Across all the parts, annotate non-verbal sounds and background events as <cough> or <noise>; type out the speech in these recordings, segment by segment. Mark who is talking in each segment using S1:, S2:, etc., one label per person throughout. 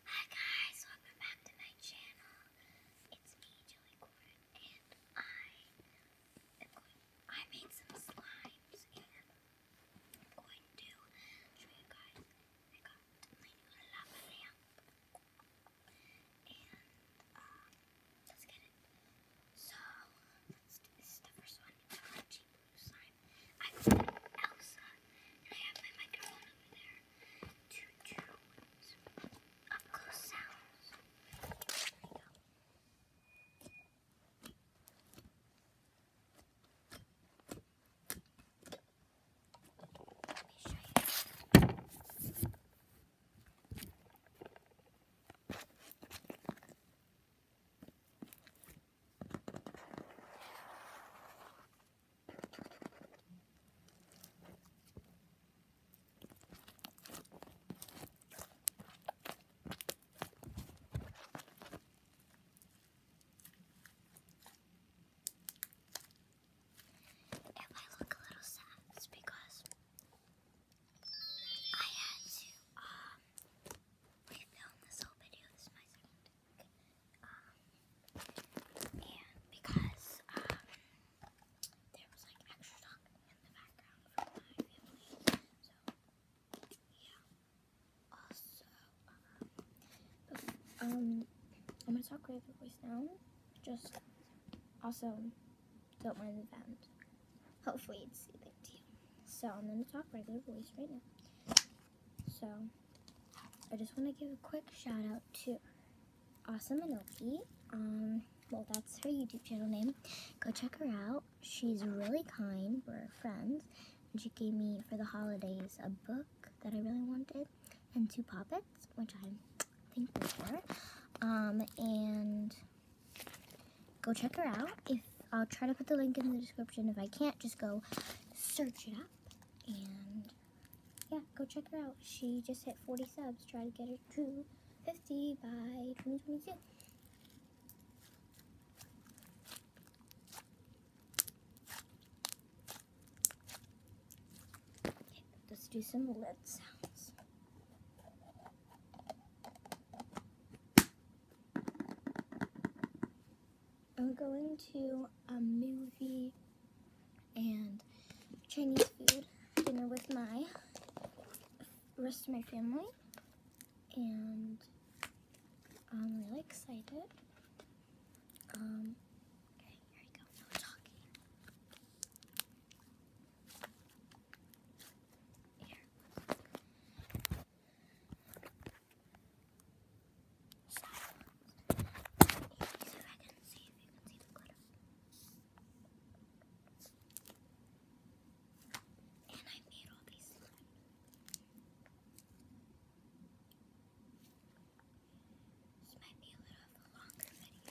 S1: Hi guys, welcome back to my channel. It's me, Joey Corn, and I I made some slimes and I'm going to show you guys I got my lava lamp. And um, let's get it. So this is the first one. Cheap blue slime. I got Elsa and I have my microphone over there to choose up close sounds. There we go. Let me show you. If I look a little sad, because I had to um refilm this whole video. This is my second um, and because um, there was like extra talk in the background from my family, so yeah. Also, um, I'm gonna talk regular voice now. Just also don't mind the band. Hopefully it's soothing to you. So I'm gonna talk regular voice right now. So I just want to give a quick shout out to Awesome Anoki. Um, well, that's her YouTube channel name. Go check her out. She's really kind. We're friends. And she gave me, for the holidays, a book that I really wanted and two puppets, which i think were. Um, and go check her out if I'll try to put the link in the description. If I can't, just go search it up. And yeah, go check her out. She just hit 40 subs. Try to get her to 50 by 2022. let's do some lid sounds. I'm going to a movie and Chinese food dinner with my rest of my family. And I'm really excited. Um, okay, here we go. No talking. Here silence. you And I made all these slimes. might be a little of longer video.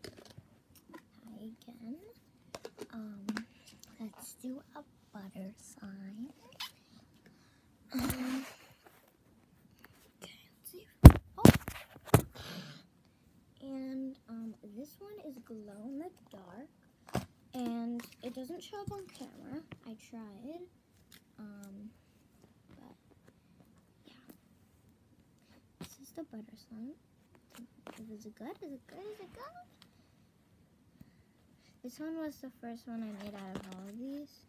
S1: Okay. again. Um, let's do a butter sign. okay, oh. And um, this one is glow in the dark. And it doesn't show up on camera. I tried. Um, but yeah, this is the butter slime. Is it good? Is it good? Is it good? This one was the first one I made out of all of these.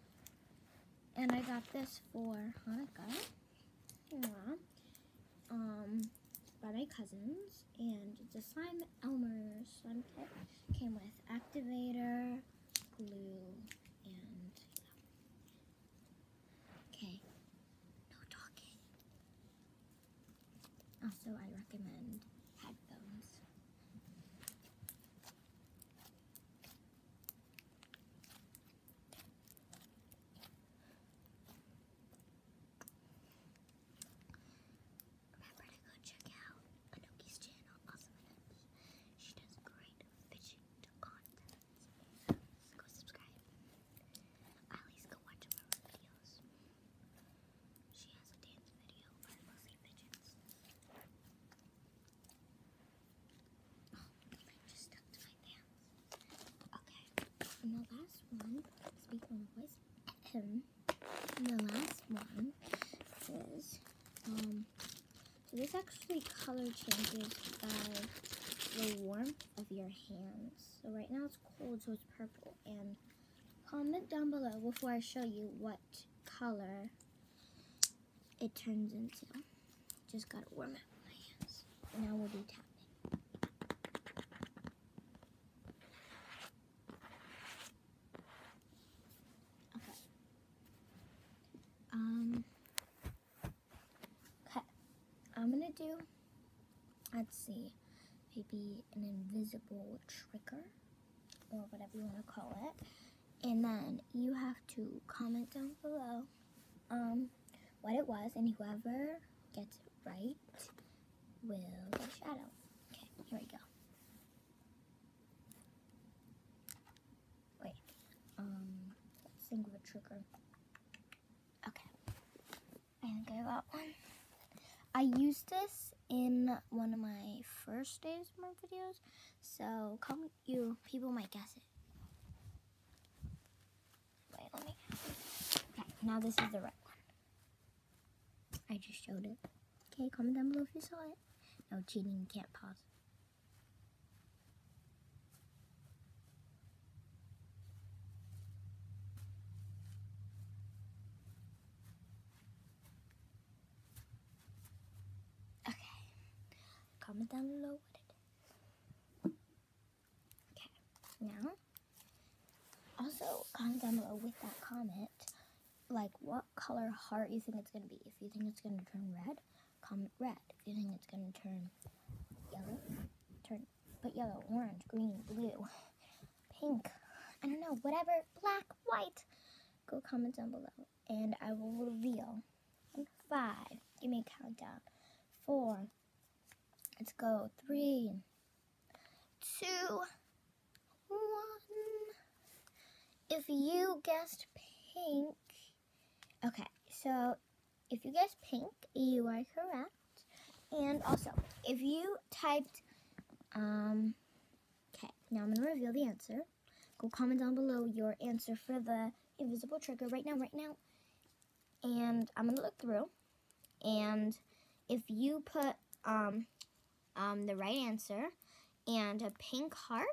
S1: And I got this for Hanukkah. Yeah. Um, by my cousins. And the slime Elmer's slime kit came with activator, glue and okay no talking also I recommend headphones Remember to go check out Anoki's channel, Awesome Anoki. She does great find fishing go subscribe. At least go watch one videos. She has a dance video, but mostly pigeons. Oh, I just stuck to my pants. Okay, and the last one, speaking of voice, the last one is, um, so this actually color changes by the warmth of your hands. So right now it's cold, so it's purple. And comment down below before I show you what color it turns into. Just gotta warm up my hands. Now we'll do tap. Okay. Um, okay, I'm gonna do, let's see, maybe an invisible trigger or whatever you want to call it. And then you have to comment down below um, what it was, and whoever gets it right will get shadow. Okay, here we go. Wait, um, single trigger. Okay, and go that one. I used this in one of my first days of my videos, so come you people might guess it. Wait, let me. Okay, now this is the right one. I just showed it. Okay, comment down below if you saw it. No cheating, you can't pause. Okay. Comment down below Okay, now, also comment down below with that comment like what color heart you think it's going to be. If you think it's going to turn red, comment red. If you think it's going to turn yellow, turn put yellow, orange, green, blue, <laughs> pink, I don't know, whatever, black, white. Go comment down below and I will reveal. Five, give me a countdown. Four, let's go. Three, two, one. If you guessed pink, okay, so if you guessed pink, you are correct. And also, if you typed, um, okay, now I'm going to reveal the answer. Go comment down below your answer for the invisible trigger right now, right now. And I'm going to look through. And if you put um, um, the right answer and a pink heart,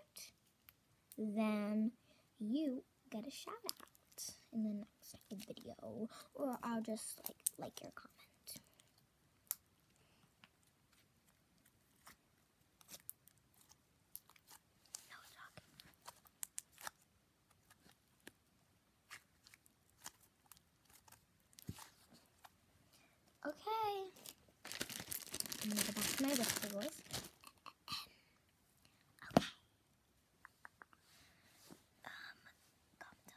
S1: then you get a shout out in the next video. Or I'll just like like your comment. Okay. I'm gonna go back to my vegetables. Okay. Um, comment down.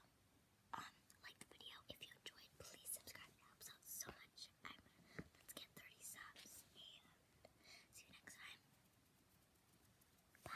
S1: Um, like the video if you enjoyed. Please subscribe. It helps out so much. I'm, let's get 30 subs and see you next time. Bye.